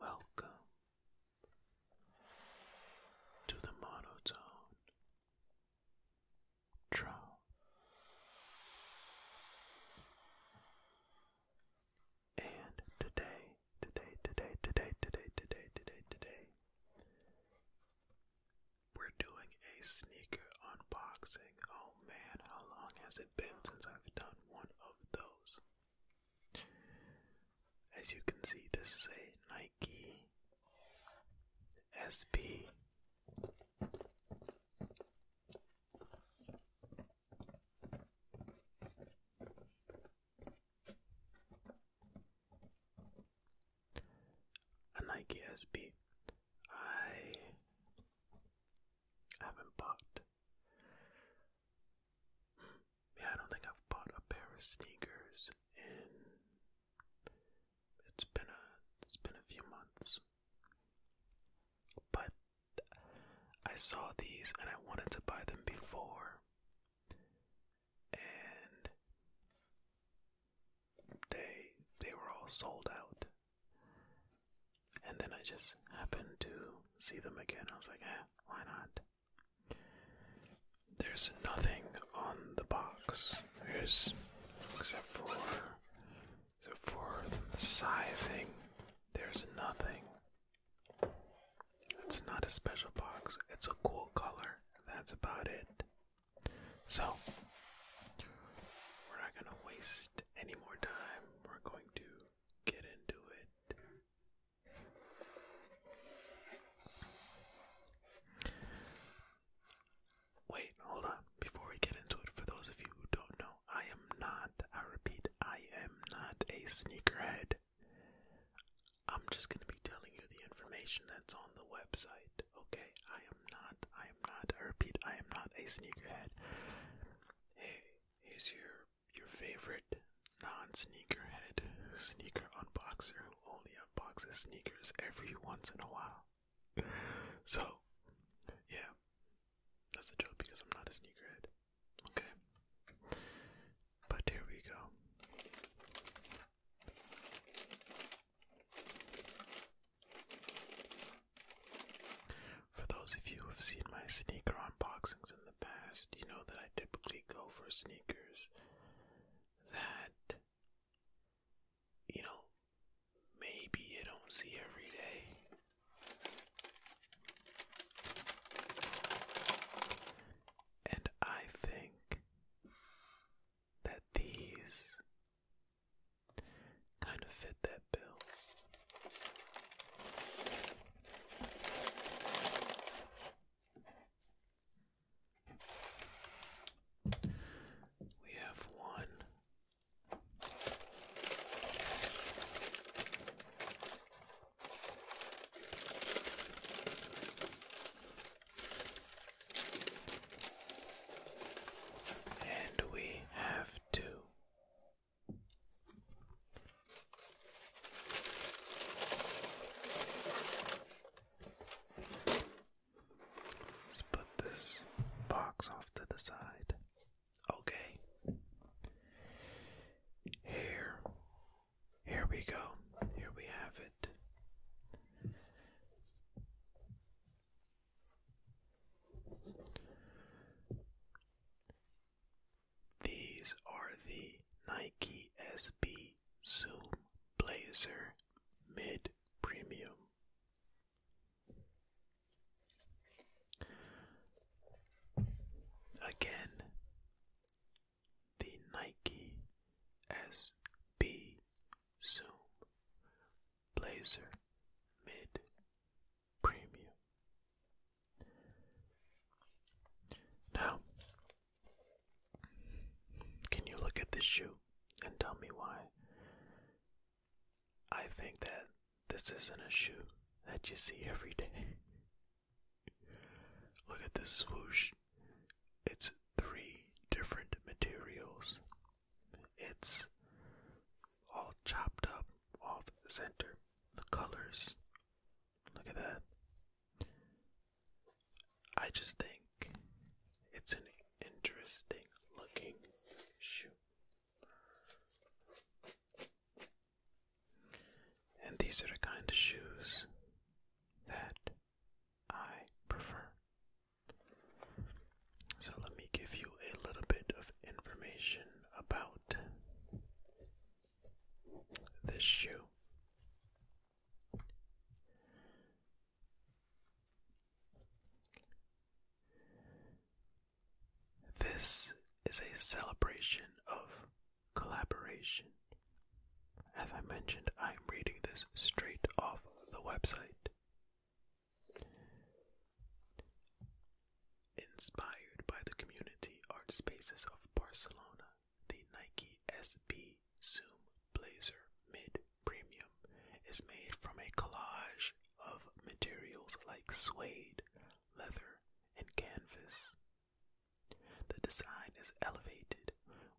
Welcome to the monotone trough. And today, today, today, today, today, today, today, today, we're doing a sneaker unboxing. Oh man, how long has it been since I've done one of those? As you can see, this is a Nike SB. A Nike SB. I haven't bought. Yeah, I don't think I've bought a pair of sneakers in. It's been a it's been a few months, but I saw these and I wanted to buy them before. And they they were all sold out. And then I just happened to see them again. I was like, eh, why not? There's nothing on the box. There's except for except for sizing. There's nothing. It's not a special box, it's a cool color, that's about it. So, we're not gonna waste any more time, we're going to get into it. Wait, hold on. Before we get into it, for those of you who don't know, I am not. I repeat, I am not a sneakerhead. I'm just gonna be telling you the information that's on the website, okay? I am not, I am not, I repeat, I am not a sneakerhead. Hey, here's your your favorite non-sneakerhead sneaker unboxer who only unboxes sneakers every once in a while. So, yeah, that's a joke because I'm not a sneakerhead. Okay. But here we go. For those of you who have seen my sneaker unboxings in the past, you know that I typically go for sneakers that, you know, maybe you don't see every day. And I think that these kind of fit that bill. We have one and we have to. put this box off to the side. Okay. Here. Here we go. Here we have it. These are the Nike SB Zoom Blazer Mid Premium. Again, the Nike SB Zoom Blazer Mid Premium. Now, can you look at this shoe and tell me why I think that this isn't a shoe that you see every day. Look at this swoosh. It's three different materials. It's all chopped up off center. The colors. Look at that. I just think it's an interesting looking shoe. And these are the kind of shoes that I prefer. So let me give you a little bit of information about this shoe. This is a celebration of collaboration. As I mentioned, I'm reading this straight off the website. Inspired by the community art spaces of Barcelona, the Nike SB Zoom Blazer Mid premium is made from a collage of materials like suede, leather, and canvas. The design is elevated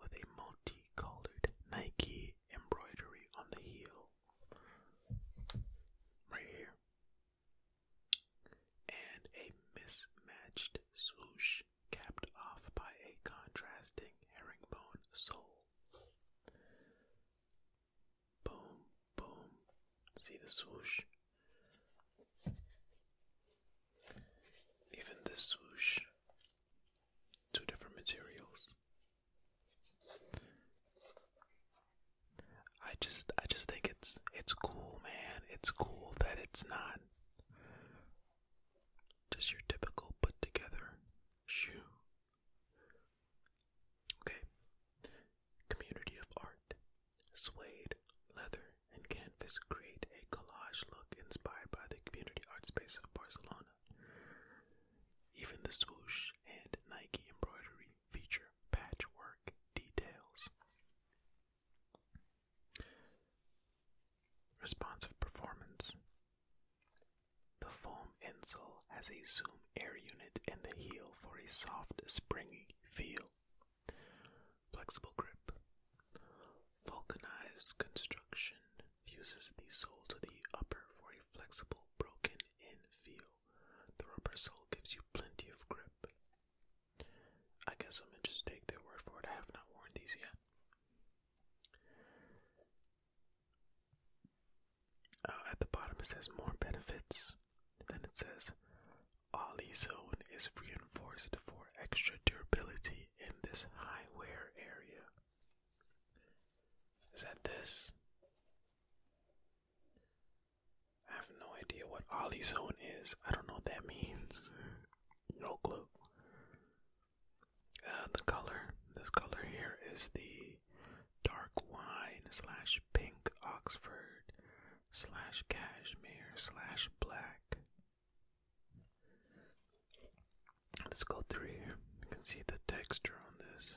with a multicolored Nike embroidery on the heel. Right here. And a mismatched swoosh capped off by a contrasting herringbone sole. Boom, boom. See the swoosh? Even this swoosh. Two different materials. I just I just think it's it's cool, man. It's cool that it's not just your typical put together Shoe. Okay. Community of art. Suede, leather, and canvas create a collage look inspired by the community art space of Barcelona. Even the swoosh and Nike embroidery feature patchwork details. Responsive performance. The foam insole has a zoom air unit in the heel for a soft, springy feel. Flexible grip. Vulcanized construction fuses the sole to the upper for a flexible, broken in feel. The rubber sole gives you plenty of grip. I guess I'm gonna just take their word for it. I have not worn these yet. Uh, at the bottom it says more benefits. then it says Olizone is reinforced for extra durability in this high wear area. Is that this? I have no idea what Ollie Zone is. I don't know what that means. no clue. Uh, the color, this color here is the dark wine slash pink Oxford slash cashmere slash black. Let's go through here. You can see the texture on this.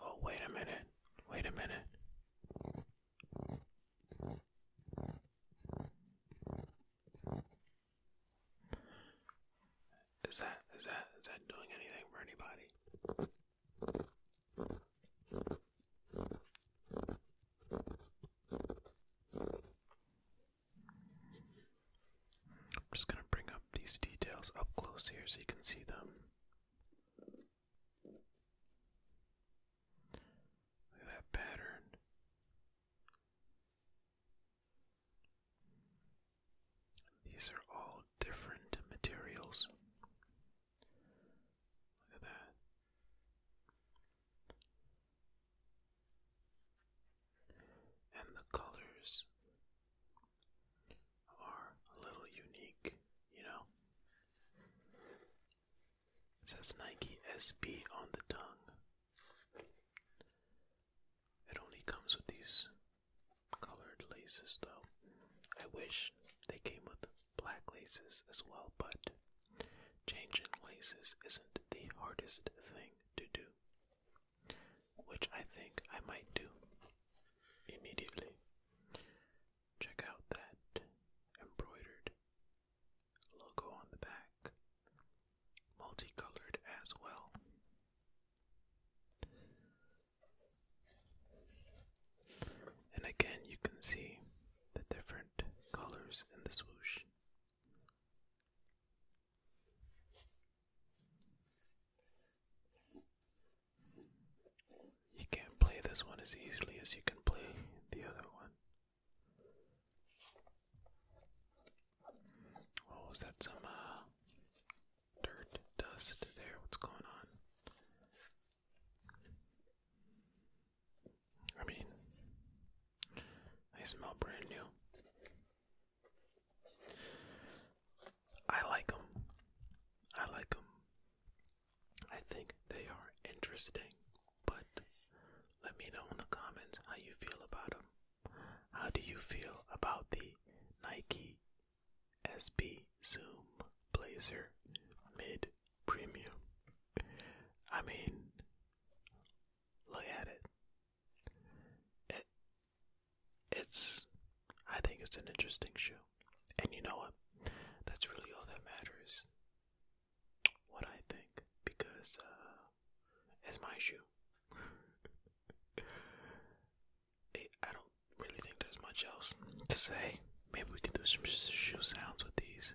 Oh, wait a minute. Wait a minute. Is that is that is that doing anything for anybody? I'm just going to bring up these details up close here so you can see them. Look at that pattern. These are all different materials. Look at that. And the colors are a little unique, you know? It says Nike SB on the tongue. It only comes with these colored laces though. I wish they came with black laces as well, but changing laces isn't the hardest thing to do, which I think I might do immediately. Check out that embroidered logo on the back, multicolored as well. And again, you can see the different colors in the swoosh. You can't play this one as easily as you can play the other one. Oh, is that some uh, dirt, dust there? What's going on? I mean, I smell brand new. I like them. I like them. I think they are interesting, but let me know in the comments how you feel about them. How do you feel about the Nike SB Zoom Blazer Mid Premium? I mean, look at it. it. It's, I think it's an interesting shoe. And you know what? That's really all that matters. What I think, because uh, it's my shoe. I don't really think there's much else to say. Maybe we can do some shoe sounds with these.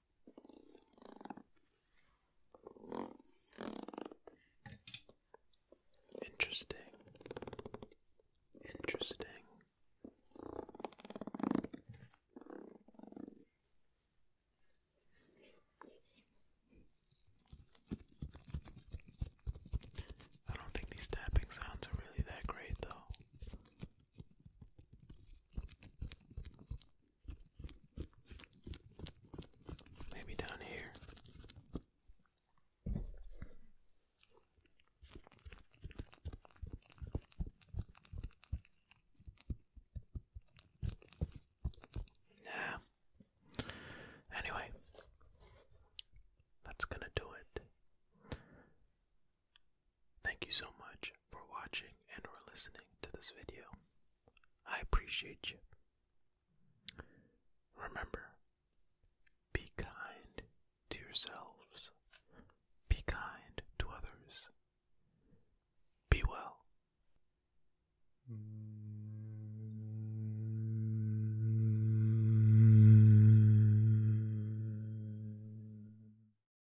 Interesting. Interesting. I don't think these tapping sounds are really that great, though. Maybe down here. Nah. Anyway, that's gonna do it. Thank you so much for watching and for listening to this video. I appreciate you. Remember, be kind to yourselves. Be kind to others. Be well.